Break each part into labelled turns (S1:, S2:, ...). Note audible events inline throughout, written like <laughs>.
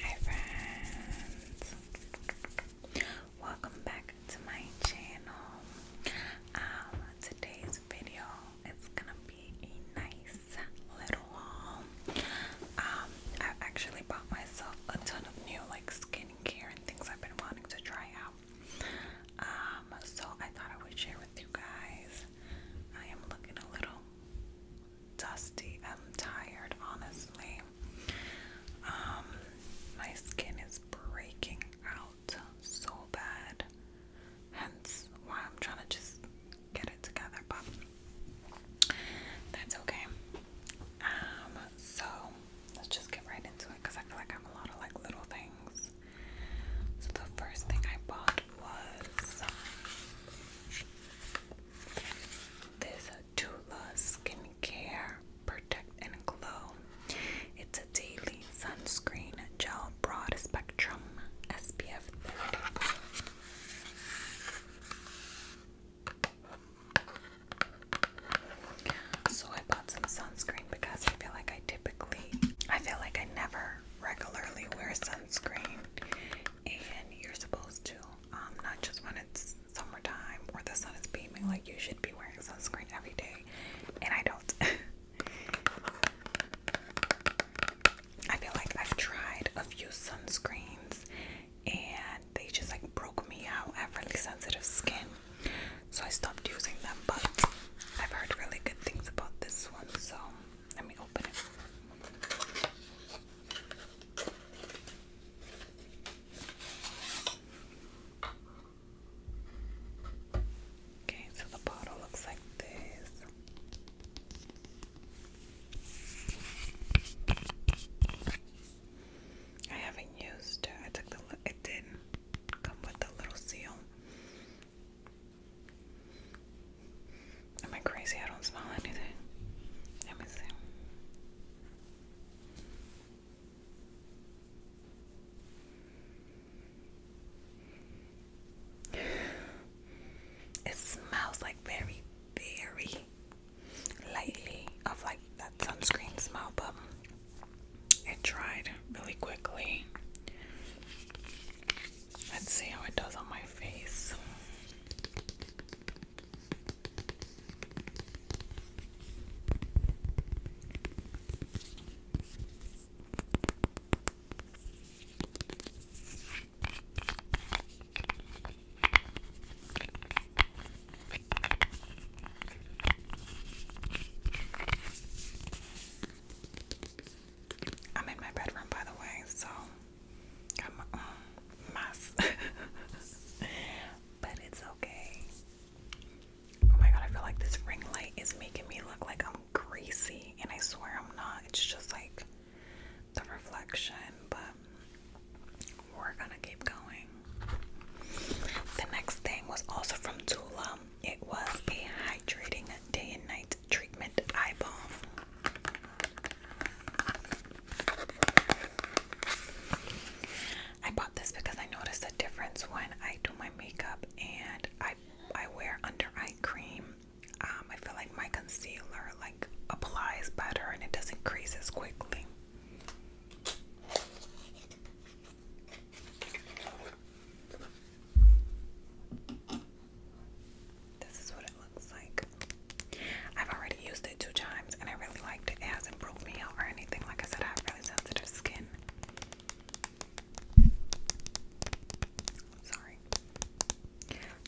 S1: Hi friends, welcome back to my channel. Um, today's video is gonna be a nice little haul. Um, I actually bought myself a ton of new like skincare and things I've been wanting to try out. Um, so I thought I would share with you guys. I am looking a little dusty. I'm tired, honestly. Um, my skin is breaking out so bad. Hence why I'm trying to just get it together, but that's okay. Um, so let's just get right into it because I feel like I have a lot of like little things. So the first thing I bought was this Tula Skincare Protect and Glow. It's a daily sunscreen gel broad spectrum SPF 30. So I bought some sunscreen because I feel like I typically I feel like I never regularly wear sunscreen and you're supposed to um, not just when it's summertime or the sun is beaming like you should be wearing sunscreen every day and I don't <laughs> I feel like I've tried a few sunscreens and they just like broke me out I have really sensitive skin so I stopped using them but I've heard really good things about this one so let me open it. Okay, so the bottle looks like this. I haven't used I took the it did come with a little seal. Am I crazy? I don't smell anything. Let me see. It smells like very, very lightly of like that sunscreen smell, but it dried really quickly. Let's see how it does on my face. I'm in my bedroom, by the way, so Got my <laughs> but it's okay. Oh my god, I feel like this ring light is making me look like I'm greasy, and I swear I'm not. It's just like the reflection, but we're gonna keep going. The next thing was also from Tula. It was a hydrating day and night Treatment Eye Balm. I bought this because I noticed a difference when I do my makeup and I I wear under eye cream. Um, I feel like my concealer like applies better and it doesn't crease as quickly. This is what it looks like. I've already used it two times and I really liked it. It hasn't broke me or anything. Like I said, I have really sensitive skin. Sorry.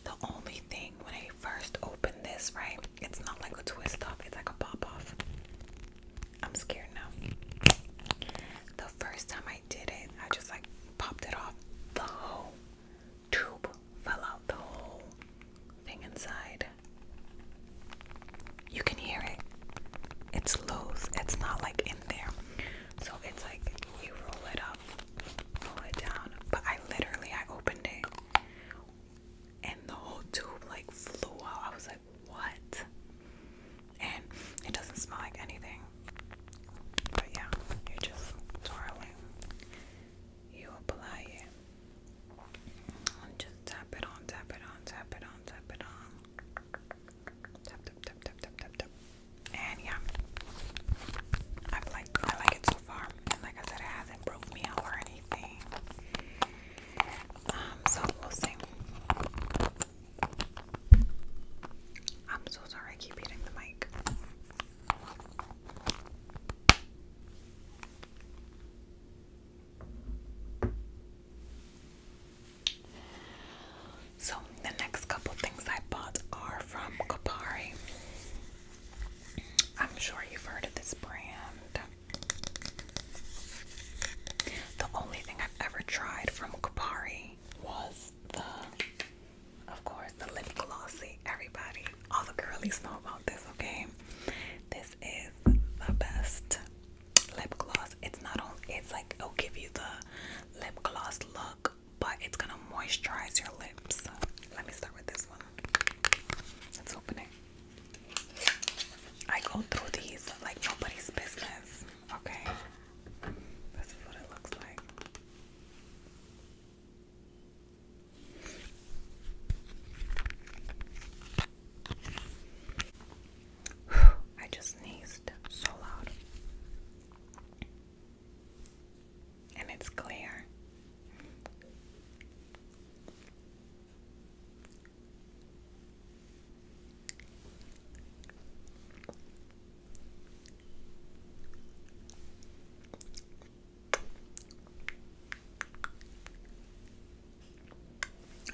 S1: The only thing when I first opened this, right? It's not like a twist off, it's like a pop off. I'm scared now. The first time I did it, I just like popped it off. The whole tube fell out, the whole thing inside. You can hear it. It's loose. It's not like in there. So it's like you roll it up, roll it down. But I literally I opened it and the whole tube like flew out. I was like, what? And it doesn't smell like anything. But yeah, you just twirl it. You apply it. And just tap it on, tap it on, tap it on, tap it on. Tap tap tap tap tap tap tap. And yeah. I like I like it so far. And like I said, it hasn't broke me out or anything. Um, so we'll see. I'm so sorry I keep hitting the mic. So, the next couple things I bought are from Kapari. I'm sure you've heard of this brand. The only thing I've ever tried from Kapari was the of course, the lip glossy. Everybody, all the girlies know about this, okay? This is the best lip gloss. It's not only, it's like it'll give you the lip gloss look, but it's gonna moisturize your lips. Let me start with this one. Let's open it. I go through these like nobody's business, okay? That's what it looks like. <sighs> I just sneezed so loud. And it's clear.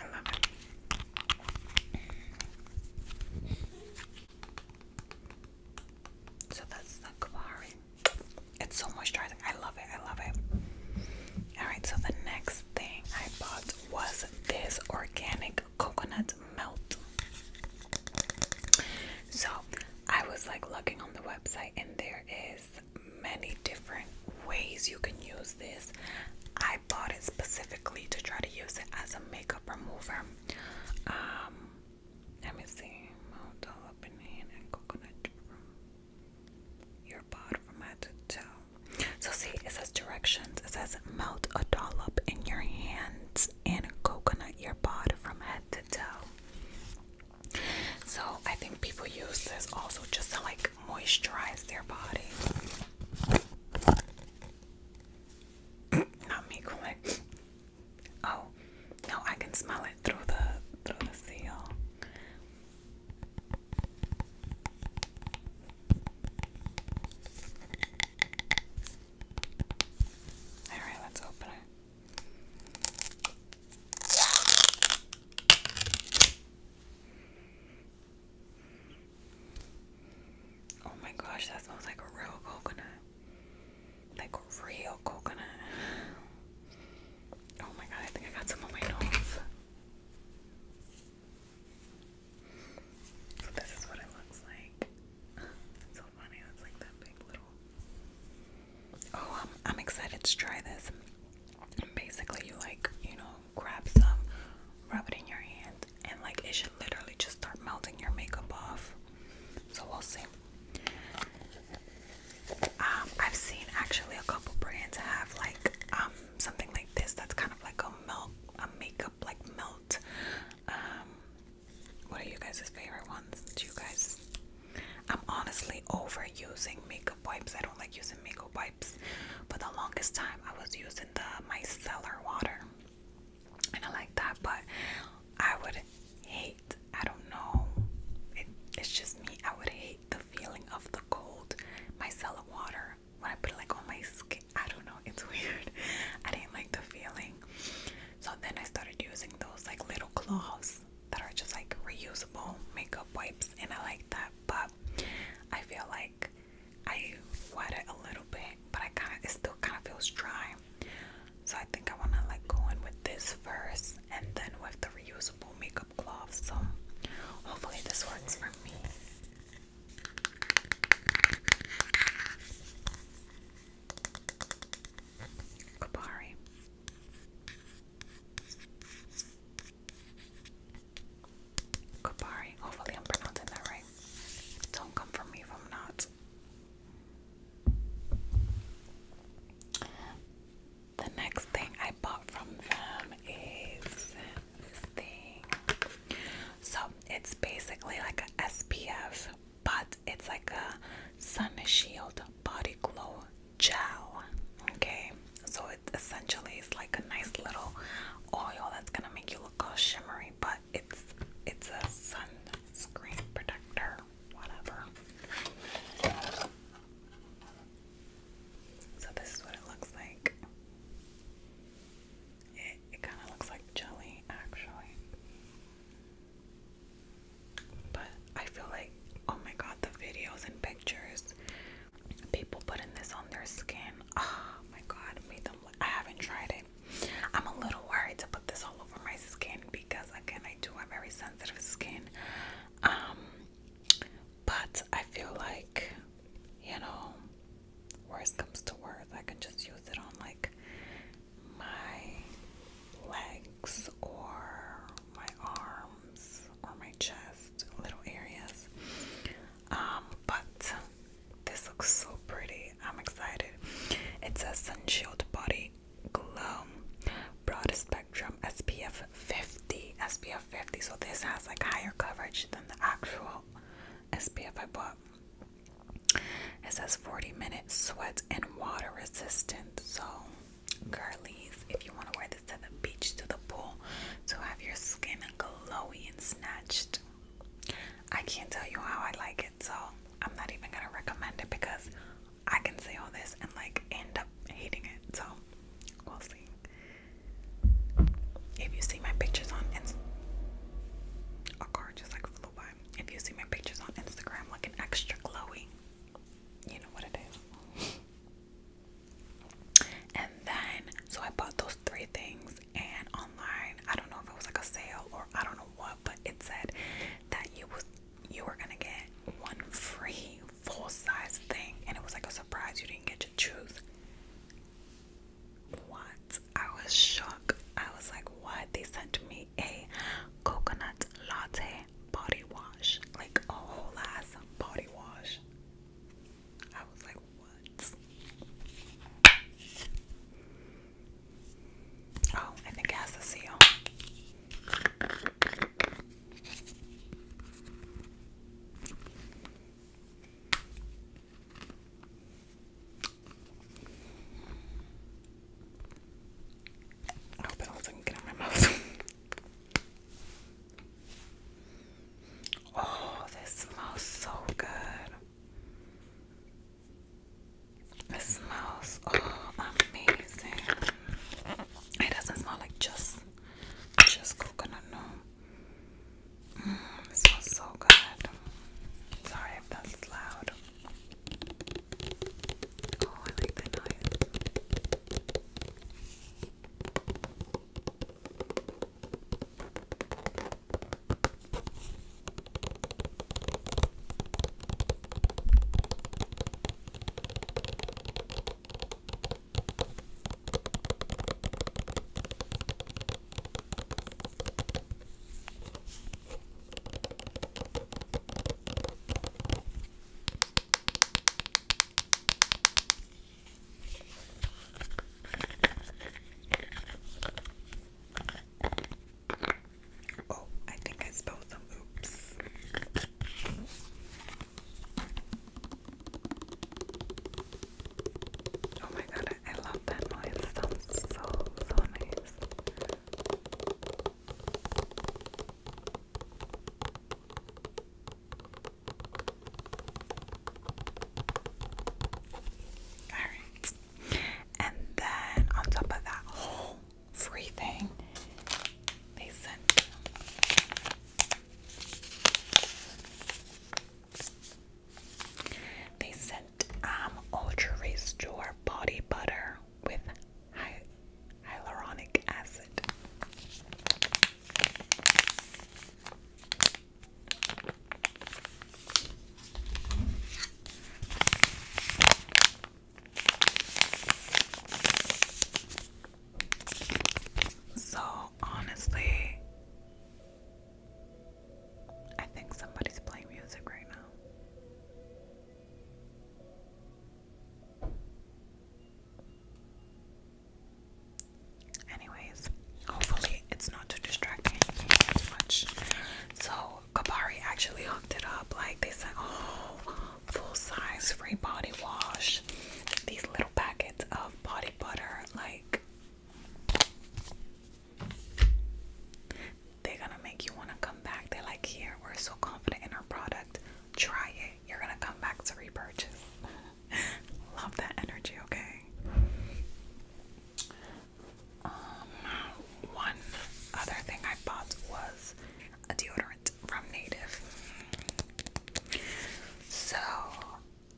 S1: I love it. So that's the kabari. It's so moisturizing. I love it. I love it. Alright, so the next thing I bought was this organic coconut melt. So I was like looking on the website and there is many different ways you can use this. I bought it specifically to try to use it as a makeup remover. Um let me see. Mount all up in your pod So see it says directions. It says melt a dollop in your hands and coconut ear pod from head to toe. So I think people use this also just to like moisturize their body. Not me, Quinn. Oh, no, I can smell it through the through the seal. Alright, let's open it. Oh my gosh, that smells like a real coconut. Like real coconut. Oh my god, I think I got some on my nose. So this is what it looks like. <laughs> so funny, it's like that big little. Oh, I'm, I'm excited to try this. Basically, you like, you know, grab some, rub it in your hand, and like it should literally just start melting your makeup off. So we'll see. Um, I've seen actually a couple brands have like um something like this that's kind of like a melt a makeup like melt. Um, what are you guys' favorite ones? Do you guys? I'm honestly over using makeup wipes. I don't like using makeup wipes, for the longest time I was using the micellar water, and I like that. But I would hate. I don't know. it's just me. I would hate the feeling of the cold micellar water when I put it like on my skin. I don't know, it's <laughs> weird. I didn't like the feeling. So then I started using those like little claws that are just like reusable makeup wipes and I like that, but I feel like I wet it a little bit, but I kind of it still kind of feels dry. So I think I want to like go in with this first and then with the reusable makeup cloth. So hopefully this works for me. Kabari. Kabari. Hopefully, I'm pronouncing that right. Don't come me if I'm not. The next thing I bought from them is thing. So it's basically like a SPF, but it's like a sun shield body glow gel. Okay, so it essentially is like a nice little oil that's gonna make you look all shimmery, but it's it's a sunscreen protector, whatever. So this is what it looks like. It, it kind of looks like jelly, actually. But I feel like, oh my god, the videos and pictures people putting this on their skin. Oh my god, made them. I haven't tried it. I'm a little worried to put this all over my skin because, again, I do have very sensitive skin. Um, but I feel like, you know, worst comes to worst, I can just use it on like my legs or my arms or my chest, little areas. Um, but this looks so pretty. I'm excited. It's a Shield Body Glow Broad Spectrum SPF 50. SPF 50. So this has like higher coverage than the actual SPF I bought. It says 40 minutes sweat and water resistant. So, girlies, if you want to wear this to the beach, to the pool, to have your skin glowy and snatched, I can't tell you how I like it. So, I'm not even going to recommend it because I can say all this and like end up hating it. So, we'll see. If you see my pictures on Instagram a car just like flew by. If you see my pictures on Instagram, like an extra glowy, you know what it is. And then, so I bought those three things, and online, I don't know if it was like a sale or I don't know what, but it said that you you were gonna get one free full size thing, and it was like a surprise. You didn't get to choose what? I was shocked. I was like, what? They sent me a coconut latte body wash, like a whole ass body wash. I was like, what? Oh, I it has a seal. Oh, I hope it all doesn't get in my mouth. <laughs> oh, this smells so good. This smells oh, amazing. It doesn't smell like just just coconut, no. Mm, this smells so good. Sorry if that's loud. Oh, I like that noise. Oh, I think I spelled them. Oops. Oh my god, I love that noise. It sounds so, so nice. Alright. And then on top of that whole free thing, they sent they sent um Ultra Restore body butter with hy hyaluronic acid. So honestly, I think somebody's playing music right now. Anyways, hopefully it's not too distracting much. So Kabari actually hooked it up. Like they said, oh, full size free body wash. These little packets of body butter, like they're gonna make you want to come back. They're like, here, we're so confident in our product. Try it. You're gonna come back to repurchase. <laughs> Love that energy, okay? Um, one other thing I bought was a deodorant from Native. So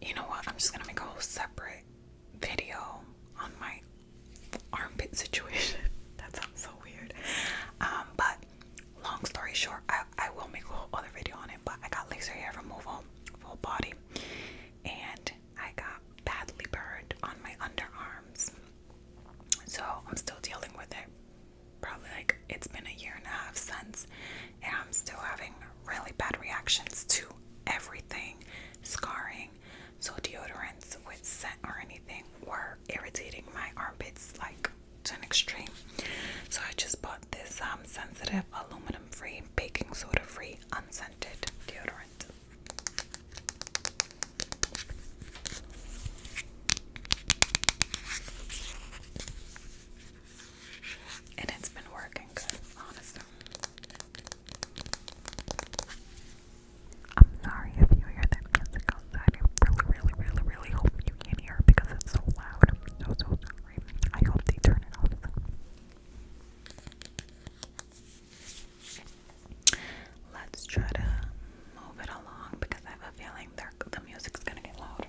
S1: you know what? I'm just gonna make a whole separate video on my armpit situation. <laughs> that sounds so weird. Um, but long story short, I, I will make a whole other video on it. But I got laser hair removal, full body, and I got badly burned on my underarms. So I'm still dealing with it. Probably like it's been a year and a half since I'm still having really bad reactions to everything scarring. So, deodorants with scent or anything were irritating my armpits like to an extreme. So, I just bought this um, sensitive, aluminum free, baking soda free, unscented deodorant. And it's been working good, honestly. I'm sorry if you hear that music outside. I really, really, really, really hope you can hear because it's so loud. so, so sorry. I hope they turn it off. Let's try to move it along because I have a feeling the music's gonna get louder.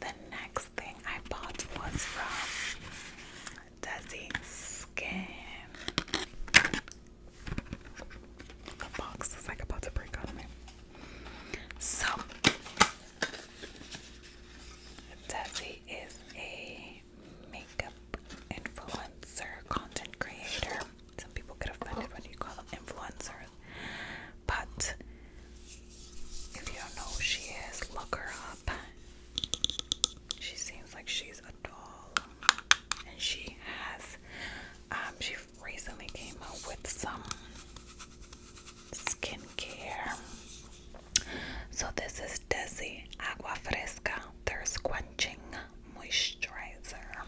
S1: The next thing I bought was from Desi Skin. The box is like about to break on me. So, Desi is a makeup influencer, content creator. Some people get offended when you call them influencer. But if you don't know who she is, look her up. She seems like she's a doll, and she has. Um, she recently came out with some skincare. So this is Desi Agua Fresca Thirst Quenching Moisturizer.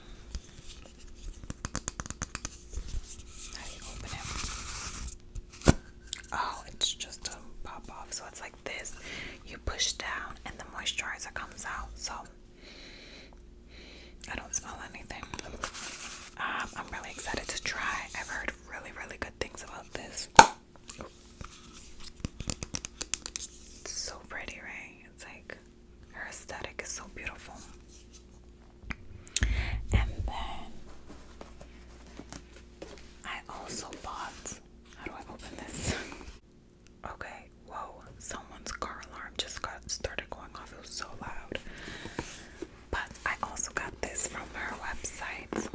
S1: Oh, it's just a pop off. So it's like this. You push down and the moisturizer comes out. So I don't smell anything. Um, I'm really excited to try. I've heard really, really good things about this. It's so pretty, right? It's like her aesthetic is so beautiful. And then I also bought. How do I open this? <laughs> okay, whoa, someone's car alarm just got started going off. It was so loud. But I also got this from her website.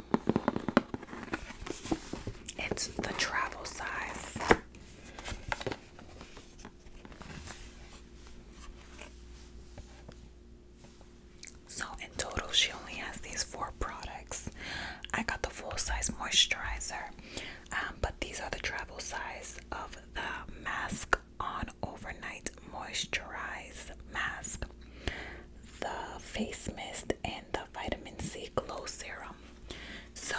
S1: It's the travel size. So, in total, she only has these four products. I got the full size moisturizer, um, but these are the travel size of the Mask On Overnight moisturized Mask, the Face Mist, and the Vitamin C Glow Serum. So,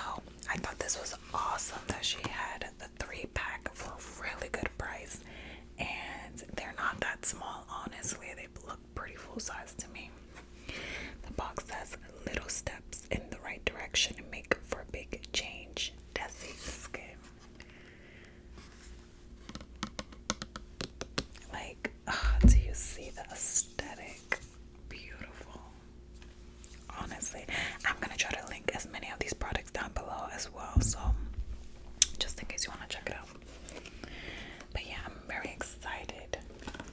S1: I thought this was awesome that she had three pack for really good price, and they're not that small, honestly. They look pretty full size to me. The box says little steps in the right direction and make for big change. Desi skin. Like, ah, do you see the aesthetic? Beautiful. Honestly, I'm gonna try to as many of these products down below as well. So just in case you want to check it out. But yeah, I'm very excited.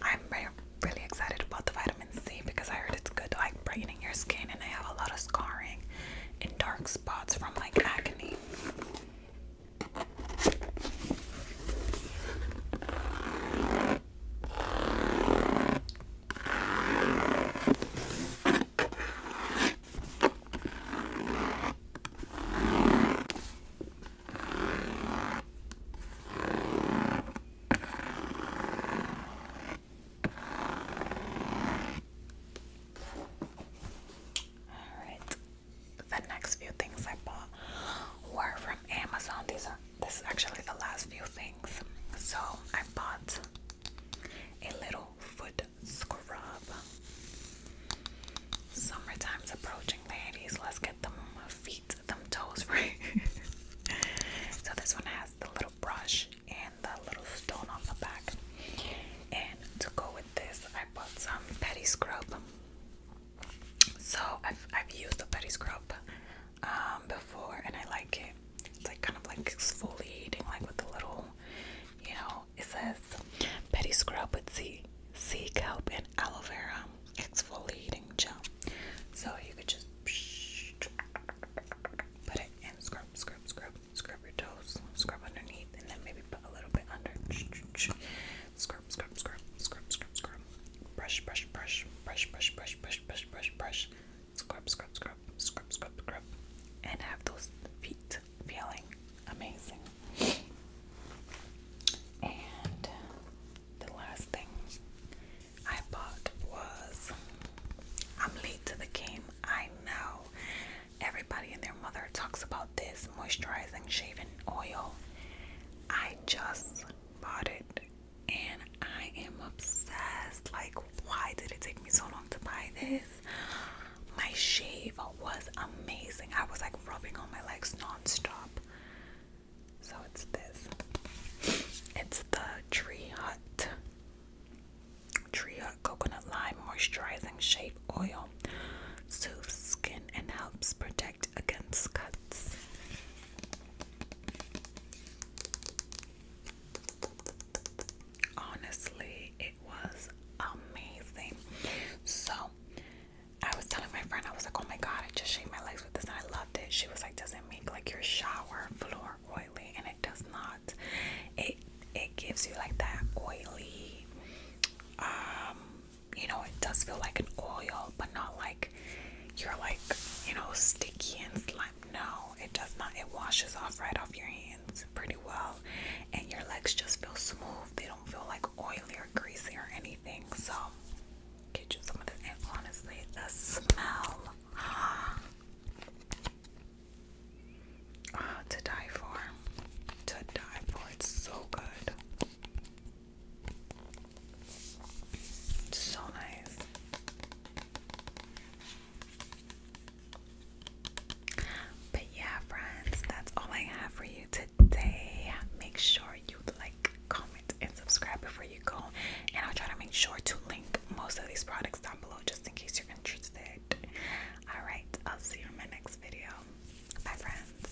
S1: I'm very, really excited about the vitamin C because I heard it's good like brightening your skin and I have a lot of scarring and dark spots from like acne. Alright. The next few things I bought were from Amazon. These are this is actually the last few things. So I bought a little foot scrub. Summer time's approaching, ladies. Let's get them feet, them toes <laughs> right. so this one has the little brush and the little stone on the back. And to go with this, I bought some petty scrub. So I've I've used the petty scrub um, before, and I like it. It's like kind of like exfoliating, like with the little people. You know, it says Petty Scrub with sea, sea kelp, and aloe vera exfoliating gel. So you could just put it in, scrub, scrub, scrub, scrub your toes, scrub underneath, and then maybe put a little bit under. Scrub, scrub, scrub, scrub, scrub, scrub. Brush, brush, brush, brush, brush, brush, brush, brush, brush, brush. Scrub, scrub, scrub, scrub, scrub, scrub, and have those feet feeling amazing. And the last thing I bought was I'm late to the game. I know everybody and their mother talks about this moisturizing shaving oil. I just bought it and I am obsessed. Like, why did it take me so long to buy this? My shave was amazing. I was like rubbing on my legs non-stop. So it's this. It's the Tree Hut. Tree Hut Coconut Lime Moisturizing Shave Oil. Soothes skin and helps protect against cuts. Honestly, it was amazing. So, I was telling my friend, I was like, oh my god, I just shaved my legs with this and I loved it. She was like, does not make like your shower floor oily? And it does not. It it gives you like that oily, um, you know, it does feel like an oil, but not like you're like, you know, sticky and slimy. No, it does not. It washes off right off your hands pretty well, and your legs just feel smooth. They don't feel like oily or greasy or anything. So, get you some of this. And honestly, the smell. Oh, to die for. To die for. It's so good. So nice. But yeah, friends, that's all I have for you today. Make sure you like, comment, and subscribe before you go. And I'll try to make sure to link most of these products down below just in case you're interested. Alright, I'll see you in my next video. Bye, friends.